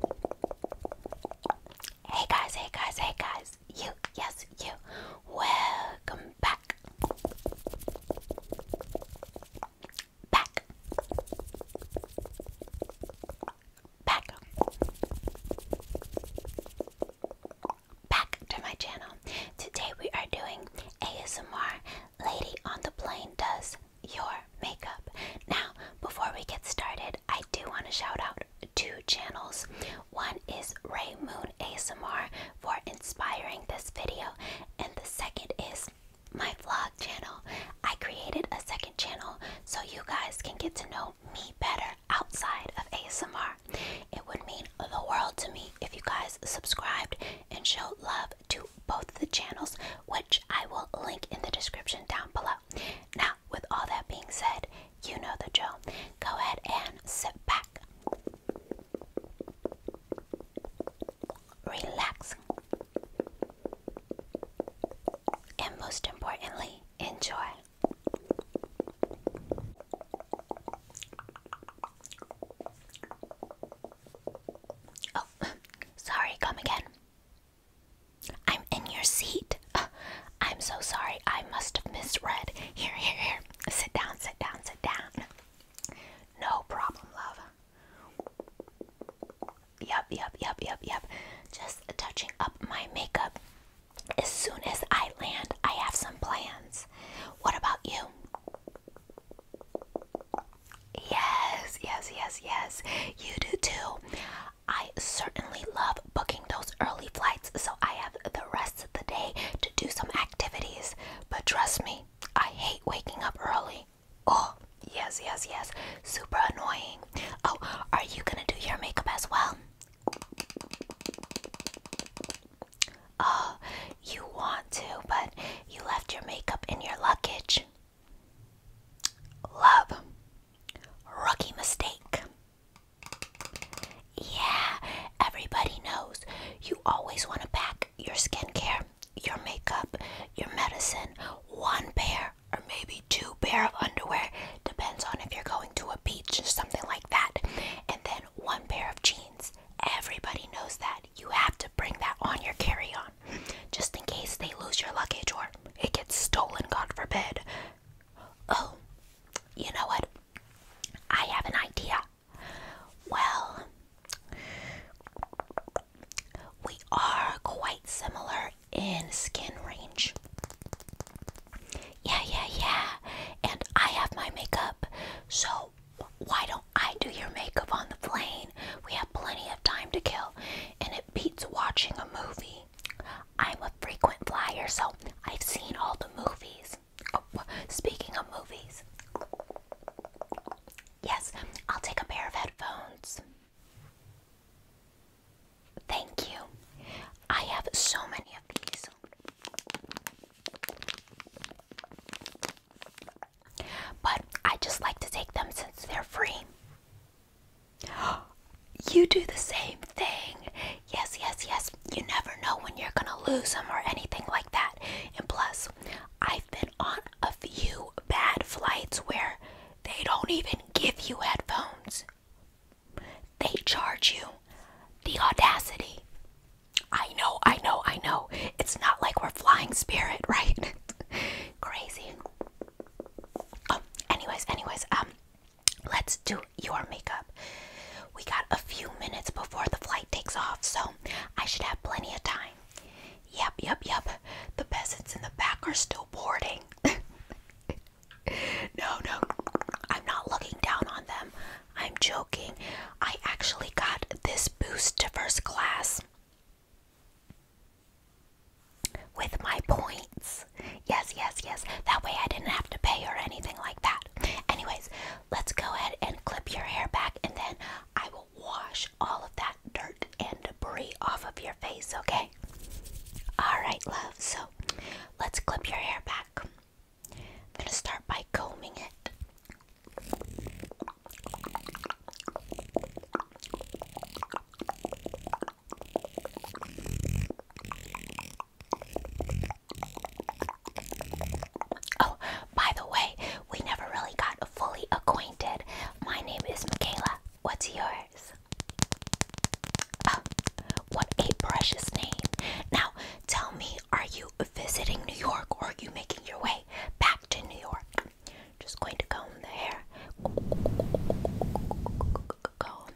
Hey guys, hey guys, hey guys. You, yes, you. Welcome back. Back. Back. Back to my channel. Today we are doing ASMR Lady on the Plane Does your makeup. Now, before we get started, I do want to shout out two channels. One is Ray Moon ASMR for inspiring this video, and the second is my vlog channel. I created a second channel so you guys can get to know me better outside of ASMR. It would mean the world to me if you guys subscribed and showed love to both the channels, which I will link in the description down below. Now, with all that being said, you know the drill. Go ahead and sit back, relax, and most importantly, enjoy. Oh, sorry, come again. I'm in your seat. I'm so sorry. I must have misread. Here, here, here. Sit down, sit down, sit down. No problem, love. Yup, yup, yup, yup, yup. Just touching up my makeup. As soon as I land, I have some plans. What about you? Yes, yes, yes, yes. You do too. I certainly love booking those early flights so I have the rest of the day to do some activities. But trust me, I hate waking up early. Oh, yes, yes, yes. Super annoying. Oh, are you gonna do your makeup as well? Oh, you want to, but you left your makeup in your luggage. Love. Rookie mistake. Yeah, everybody knows you always want to pack your skincare, your makeup, your medicine, one pair or maybe two pair of underwear, depends on if you're going to a beach or something like that, and then one pair of jeans. Everybody knows that. You have to bring that on your carry-on just in case they lose your luggage or it gets stolen, God forbid. Oh, you know what? I have an idea. Well, we are quite similar in skin range. Yeah, yeah, yeah. And I have my makeup, so why don't I do your makeup on the plane? We have plenty of time to kill, and it beats watching a movie I'm a frequent flyer, so I've seen all the movies. Oh, speaking of movies, yes, I'll take a pair of headphones. Thank you. I have so many of these. But I just like to take them since they're free. You do the same thing. Yes, yes, yes. You never know when you're going to lose them or anything like that. And plus, I've been on a few bad flights where they don't even give you headphones, they charge you the audacity. I know, I know, I know. It's not like we're flying spirit, right? Crazy. Oh, anyways, anyways, um, let's do your makeup. We got a few minutes before the flight takes off, so I should have plenty of time. Yep, yep, yep. The peasants in the back are still boarding. no, no, I'm not looking down on them. I'm joking. I actually got this boost to first class with my points. Yes, yes, yes. That way I didn't have to pay or anything like that. Anyways, let's go ahead and clip your hair back and then I will wash all of that dirt and debris off of your face, okay? Alright, love. So let's clip your hair back. I'm going to start by combing it. Oh, by the way, we never really got fully acquainted. My name is Michaela. What's yours? Oh, what a precious name. Now, tell me, are you visiting New York or are you making your way back to New York? Just going to comb the hair. Comb.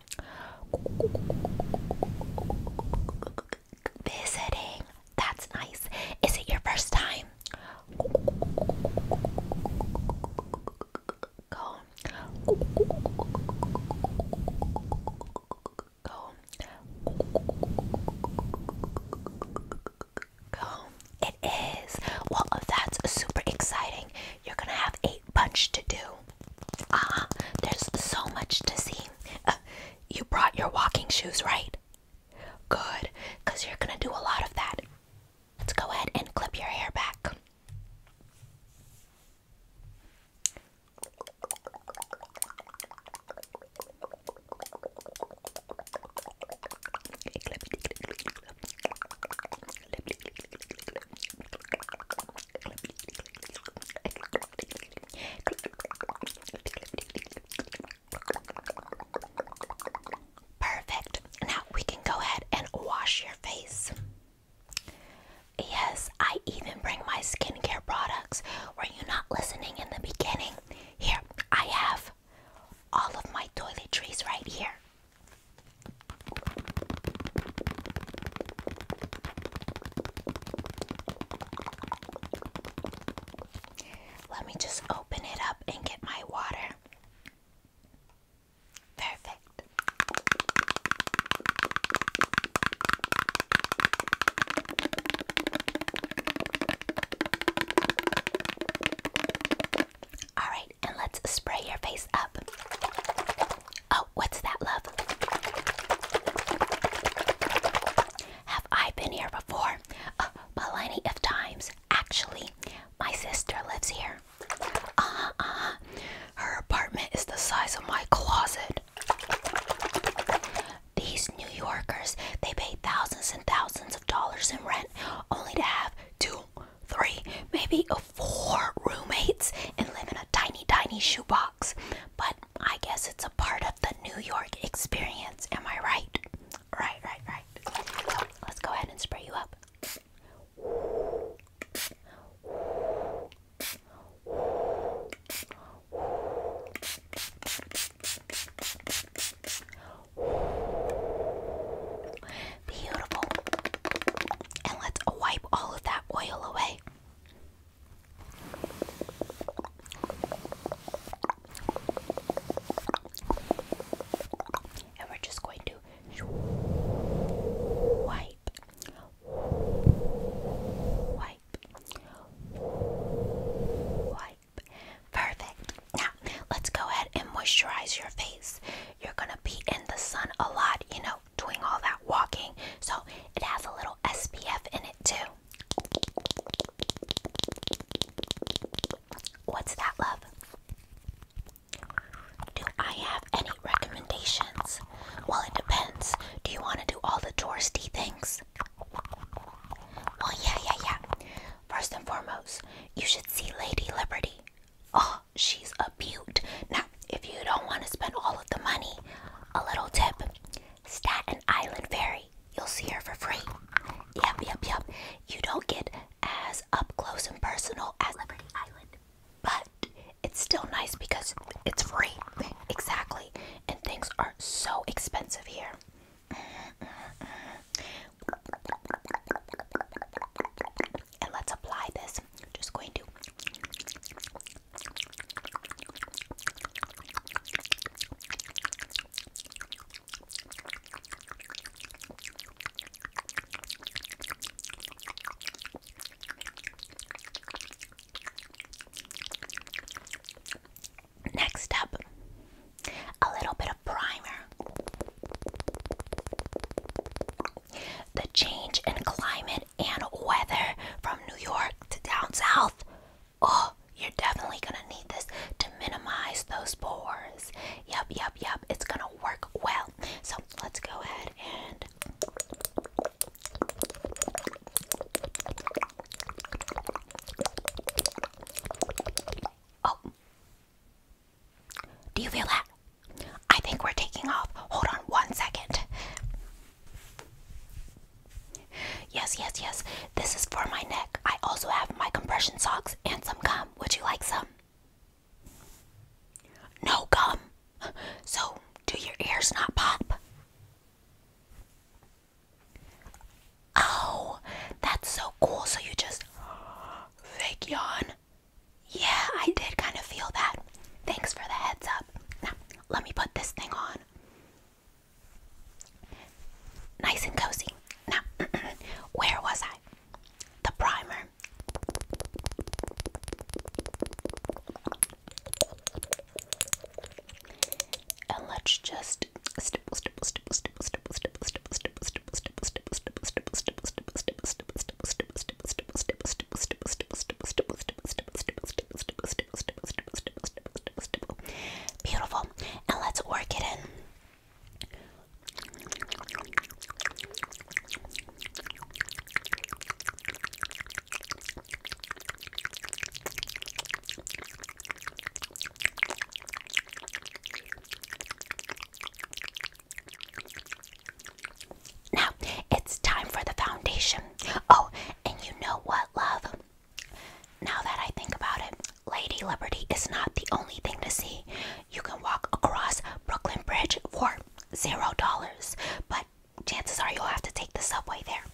Visiting. That's nice. Is it your first time? Comb. Comb. Comb. It is. Well, that's super exciting. You're gonna have a bunch to do. Ah, there's so much to see. Uh, you brought your walking shoes, right? Good, because you're gonna do a lot of that. Let's go ahead and clip your hair back. Perfect. Now we can go ahead and wash your face. Yes, I even bring my skincare products. Were you not listening in the beginning? Here, I have all of my toiletries right here. Let me just open it up and get my water. Perfect. All right, and let's spray your face up. Oh, what's that, love? Have I been here before? Uh, plenty of times. Actually, my sister lives here. Uh-huh, uh-huh. Her apartment is the size of my closet. These New Yorkers, they pay thousands and thousands of dollars in rent only to have two three, maybe four roommates and live in a tiny, tiny shoebox. But I guess it's a part of the New York experience. Am I right? Right, right, right. So let's go ahead and spray you up. Beautiful. And let's wipe all of that oil away. And we're just going to wipe, wipe, wipe. Perfect. Now, let's go ahead and moisturize your face you're gonna be in the sun a lot, you know, doing all that walking. So it has a little SPF in it too. What's that, love? Do I have any recommendations? Well, it depends. Do you want to do all the touristy things? Well, yeah, yeah, yeah. First and foremost, you should see Lady Liberty. Oh, she's a beaut. Now, if you don't want to spend all of the money, a little tip Staten Island Ferry. You'll see her for free. Yup, yup, yup. You don't get as up close and personal at Liberty Island, but it's still nice because it's free. Exactly. And things are so expensive here. Mm-hmm, mm-hmm, mm-hmm and let's apply this. Just going to Next up, a little bit of primer. The change in climate and weather from New York to down south. Oh, you're definitely gonna need this to minimize those pores. Yep, yep, yep. It's gonna work well. So let's go ahead and. Oh. Do you feel that? I think we're taking off. Hold on one second. Yes, yes, yes. This is for my neck. I also have my compression socks and some gum. Would you like some? No gum. So, do your ears not pop? Oh, that's so cool. So, you just fake yawn, yeah, I did kind of feel that. Thanks for the heads up. Now, let me put this thing on. Nice and cozy. Now, where was I? The primer. And let's just Beautiful. And let's work it in. Now it's time for the foundation. Oh, and you know what, love? Now that I think about it, Lady Liberty is not the only thing to see. You can walk across Brooklyn Bridge for zero dollars, but chances are you'll have to take the subway there.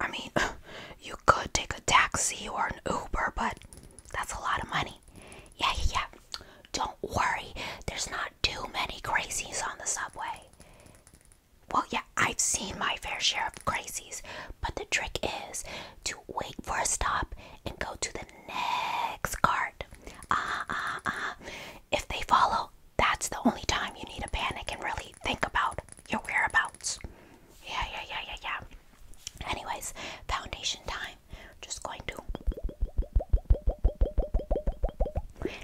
I mean, you could take a taxi or an Uber, but that's a lot of money. Yeah, yeah, yeah. Don't worry, there's not too many crazies on the subway. Well, yeah, I've seen my fair share of crazies, but the trick is to wait for a stop and go to the next cart. Ah, ah, ah. If they follow, that's the only time you need to panic and really think about your whereabouts. Yeah, yeah, yeah, yeah, yeah. Anyways, foundation time time. Just going to.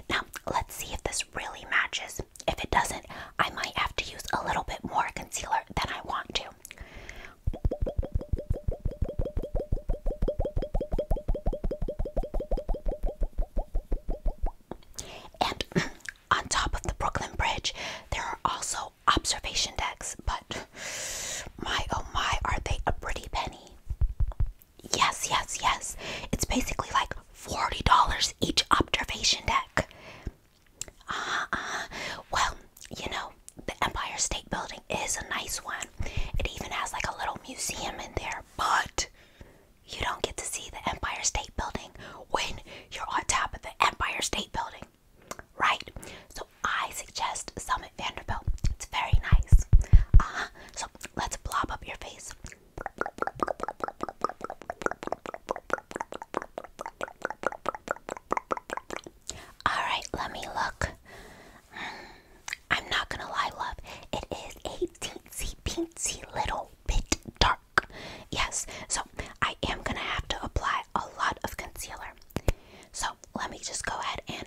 Now, let's see if this really matches. If it doesn't, I might have to use a little bit more concealer than I want to. And on top of the Brooklyn Bridge, there are also observation decks, but my oh my, are they a pretty penny? Yes, yes, yes. It's basically like $40 each observation deck. Uh, uh, well, you know, the Empire State Building is a nice one. It even has like a little museum in there, but you don't get to see the Empire State Building when you're on top of the Empire State Building right? So I suggest Summit Vanderbilt. It's very nice. uh So let's blob up your face. Alright, let me look. Mm, I'm not gonna lie, love. It is a teensy peensy little bit dark. Yes, so I am gonna have to apply a lot of concealer. So let me just go ahead and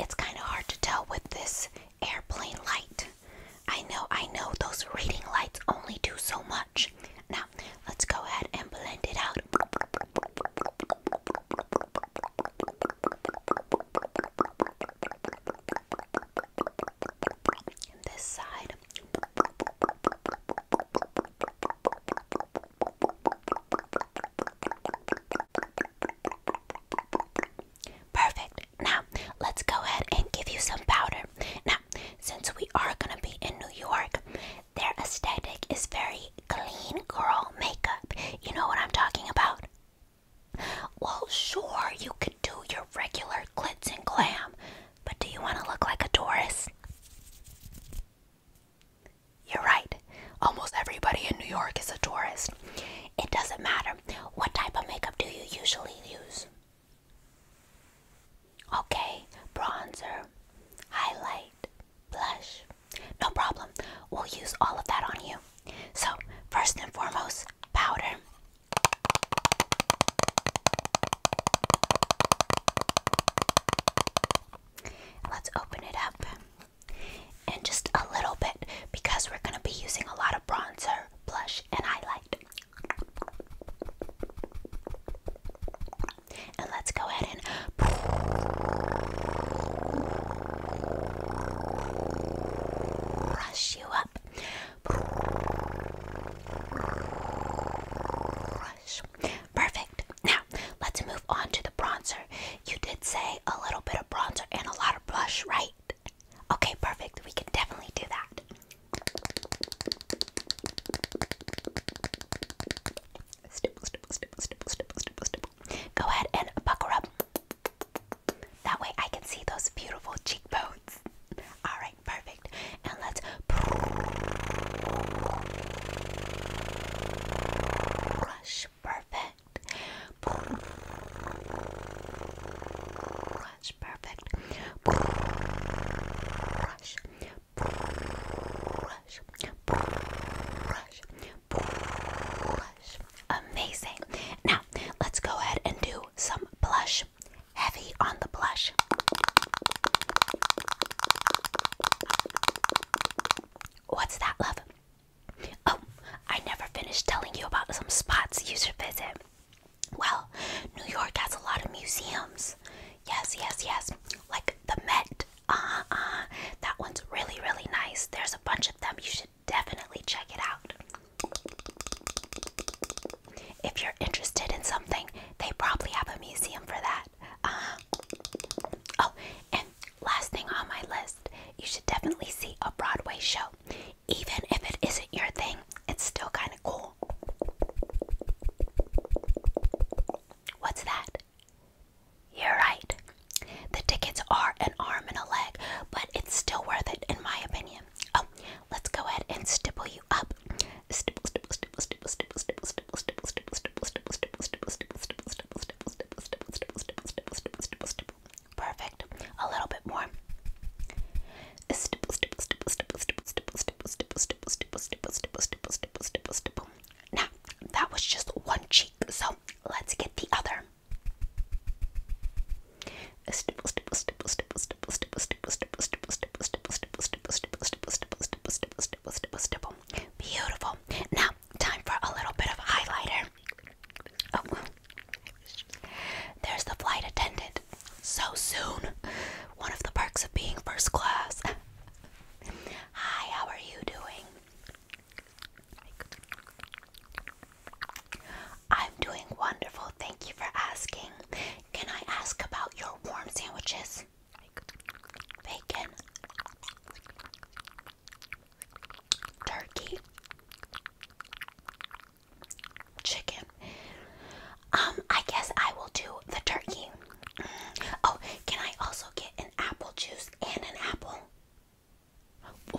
it's kind of hard to tell with this airplane light. I know, I know those reading lights only do so much. Now, let's go ahead and blend it out. this side. Perfect. Now, let's go ahead and give you some powder. Now, since we are going to be in New York, their aesthetic is very clean girl makeup. You know what I'm talking about? Well, sure, you could do your regular glitz and glam, but do you want to look like a tourist? You're right. Almost everybody in New York is a tourist. It doesn't matter. What type of makeup do you usually use? Okay, bronzer, highlight, blush. No problem. We'll use all of that on you. So, first and foremost, powder. Let's open it up and just a little bit because we're going to be using a lot of bronzer, blush, and highlight. And let's go ahead and. Brush you up. Brush, Perfect. Now, let's move on to the bronzer. You did say a little bit of bronzer and a lot of blush, right? Okay, perfect. We can definitely do that. Go ahead and pucker up. That way I can see those beautiful cheekbones. Alright, perfect. And let's. Brush, perfect. Brush perfect. Brush. Brush. Brush. Brush. Amazing. Now, let's go ahead and do some blush. Heavy on the blush. What's that, love? Oh, I never finished telling you about some spots you should visit. Well, New York has a lot of museums. Yes, yes, yes. Like the Met. Ah, ah. That one's really, really nice. There's a bunch of them. You should definitely check it out. If you're interested in something, they probably have a museum for that. Uh Oh, and last thing on my list, you should definitely see a Broadway show. Even if it isn't your thing, it's still kind of cool. What's that? You're right. The tickets are an arm and a leg, but it's still worth it in my opinion. Oh, let's go ahead and stipple you up. Perfect. A little bit more. Now, that was just one cheek, so let's get the other. Beautiful. Now time for a little bit of highlighter. Oh, there's the flight attendant. So soon. One of the perks of being first class. Hi, how are you doing? I'm doing wonderful. Thank you for asking. Can I ask about your warm sandwiches? bacon, turkey, chicken. Um, I guess I will do the turkey. Mm. Oh, can I also get an apple juice and an apple?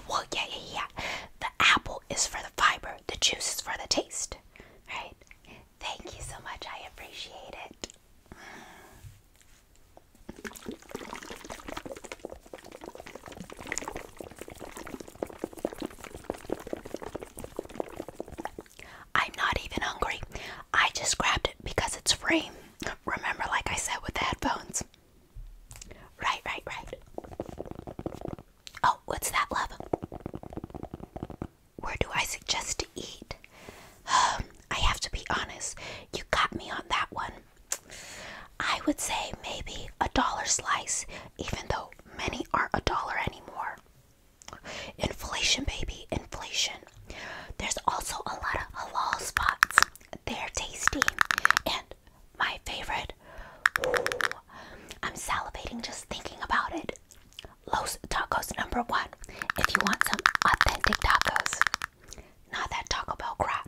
Well, yeah, yeah, yeah. The apple is for the fiber, the juice is for the taste, right? Thank you so much. I appreciate it. I'm not even hungry. I just grabbed it because it's free. Remember, like I said, with the headphones. Right, right, right. Oh, what's that, love? Where do I suggest to eat? I have to be honest, you got me on that one. I would say maybe a dollar slice, even though many aren't a dollar anymore. Inflation, baby, inflation. There's also a lot of halal spots. They're tasty. And my favorite, ooh, I'm salivating just thinking about it. Los Tacos number one. If you want some authentic tacos, not that Taco Bell crap.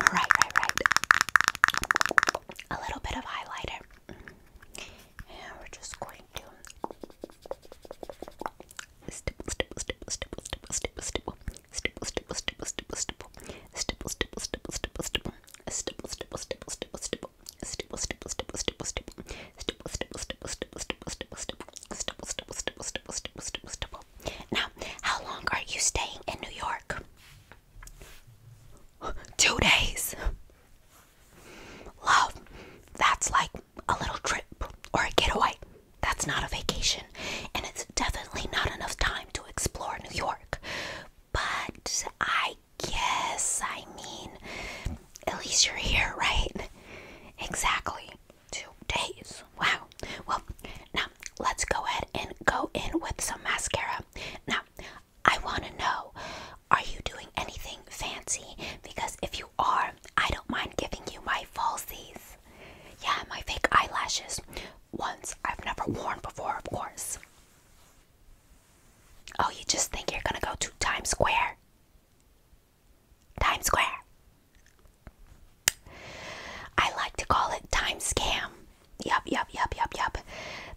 Right, right, right. A little bit of highlighter. And we're just going to now, how long are you staying in New York? Two days. Love, that's like a little trip or a getaway. That's not a vacation. And it's definitely not enough time to explore New York. But I guess, I mean, at least you're here, right? Exactly two days. Wow. Well, now let's go ahead and go in with some mascara. Now, I want to know are you doing anything fancy? Because if you are, I don't mind giving you my falsies. Yeah, my fake eyelashes. Ones I've never worn before, of course. Oh, you just think you're gonna go to Times Square? Times Square. I like to call it Times scam. Yup, yup, yup, yup, yup.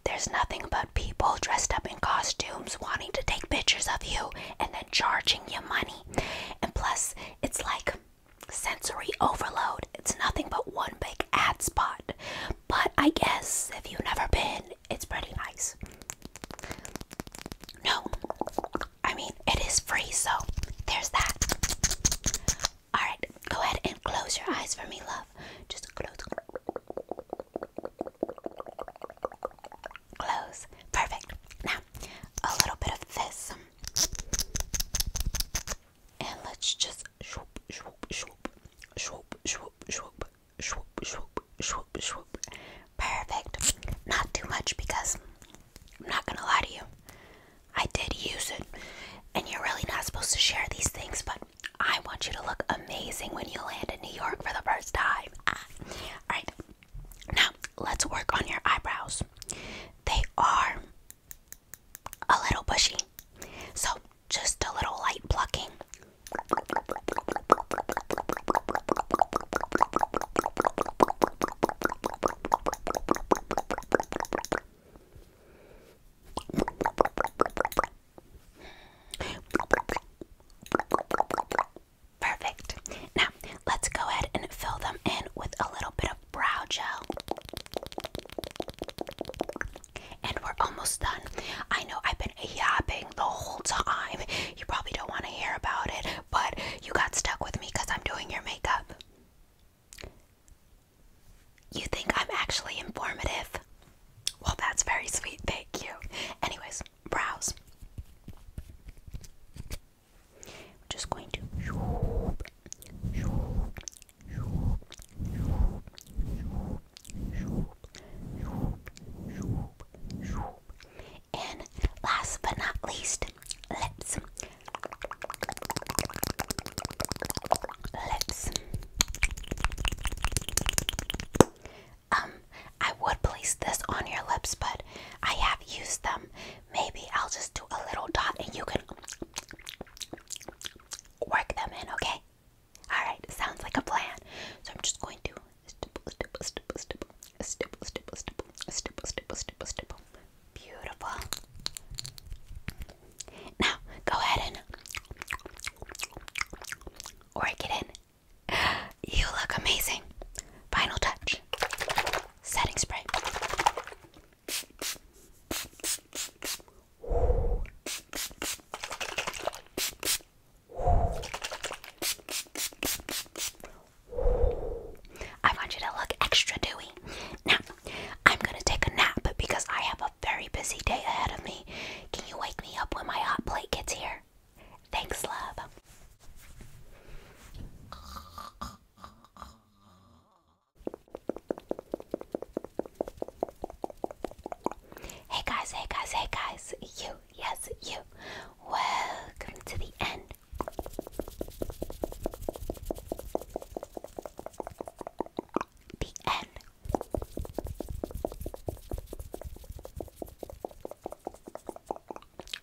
There's nothing but people dressed up in costumes wanting to take pictures of you and then charging you money. And plus, it's like sensory overload. It's nothing but one big ad spot. But I guess if you've never been, it's pretty nice. No, I mean, it is free, so there's that. Alright, go ahead and close your eyes for me, love. Just close. Close. Perfect. Now, a little bit of this. And let's just swoop, swoop, swoop, swoop, swoop, swoop, swoop, swoop, swoop, swoop. Perfect. Not too much because I'm not gonna lie to you. I did use it, and you're really not supposed to share these things, but I want you to look amazing when you land in New York for the first time. Ah. Alright, now let's work on your eyebrows. They are a little bushy, so just a little light plucking. Perfect. Now, let's go ahead and fill them in with a little bit of brow gel. And we're almost done. I know I've been yapping the whole time. You probably don't want to hear about it, but you got stuck with me because I'm doing your makeup. You think I'm actually informative? Well, that's very sweet. Thank you. Anyways, brows. just going to. And last but not least, lips. Lips. Um, I would place this on your lips, but I have used them. Maybe I'll just do a little dot and you can work them in, okay? Alright, sounds like a plan. So I'm just going to Beautiful. Now, go ahead and work it in. You look amazing. Final touch. Setting spray. I want you to look extra dewy. Now, I'm gonna take a nap because I have a very busy day ahead of me. Can you wake me up when my hot plate gets here? Thanks, love. Hey guys, hey guys, hey guys, you, yes, you. Welcome to the end the N.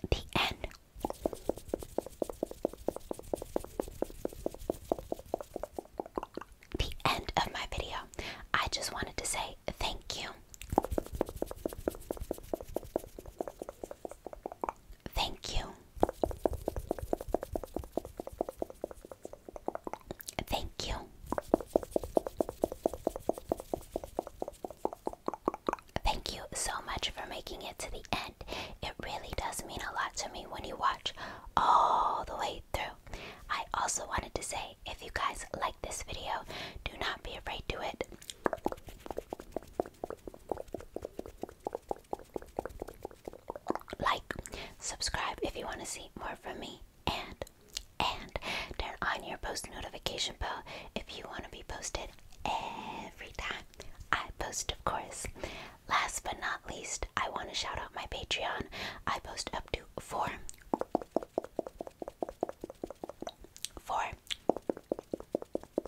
The N. The end of my video. I just wanted to say thank you. Thank you. Thank you. Thank you so much for making it to the end. It really does mean a lot to me when you watch all the way through. I also wanted to say if you guys like this video, do not be afraid to it. Like, subscribe if you want to see more from me, and and turn on your post notification bell if you want to be posted every time I post, of course. Last but not least, I want to shout out my Patreon. I post up to four, four,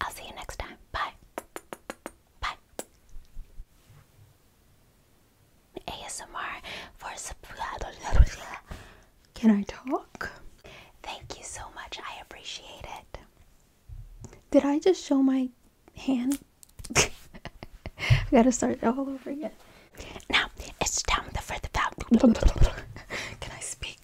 I'll see you next time. Bye. Bye. ASMR Can I talk? Thank you so much. I appreciate it. Did I just show my hand? I gotta start all over again. Now it's time for the. bell. Can I speak?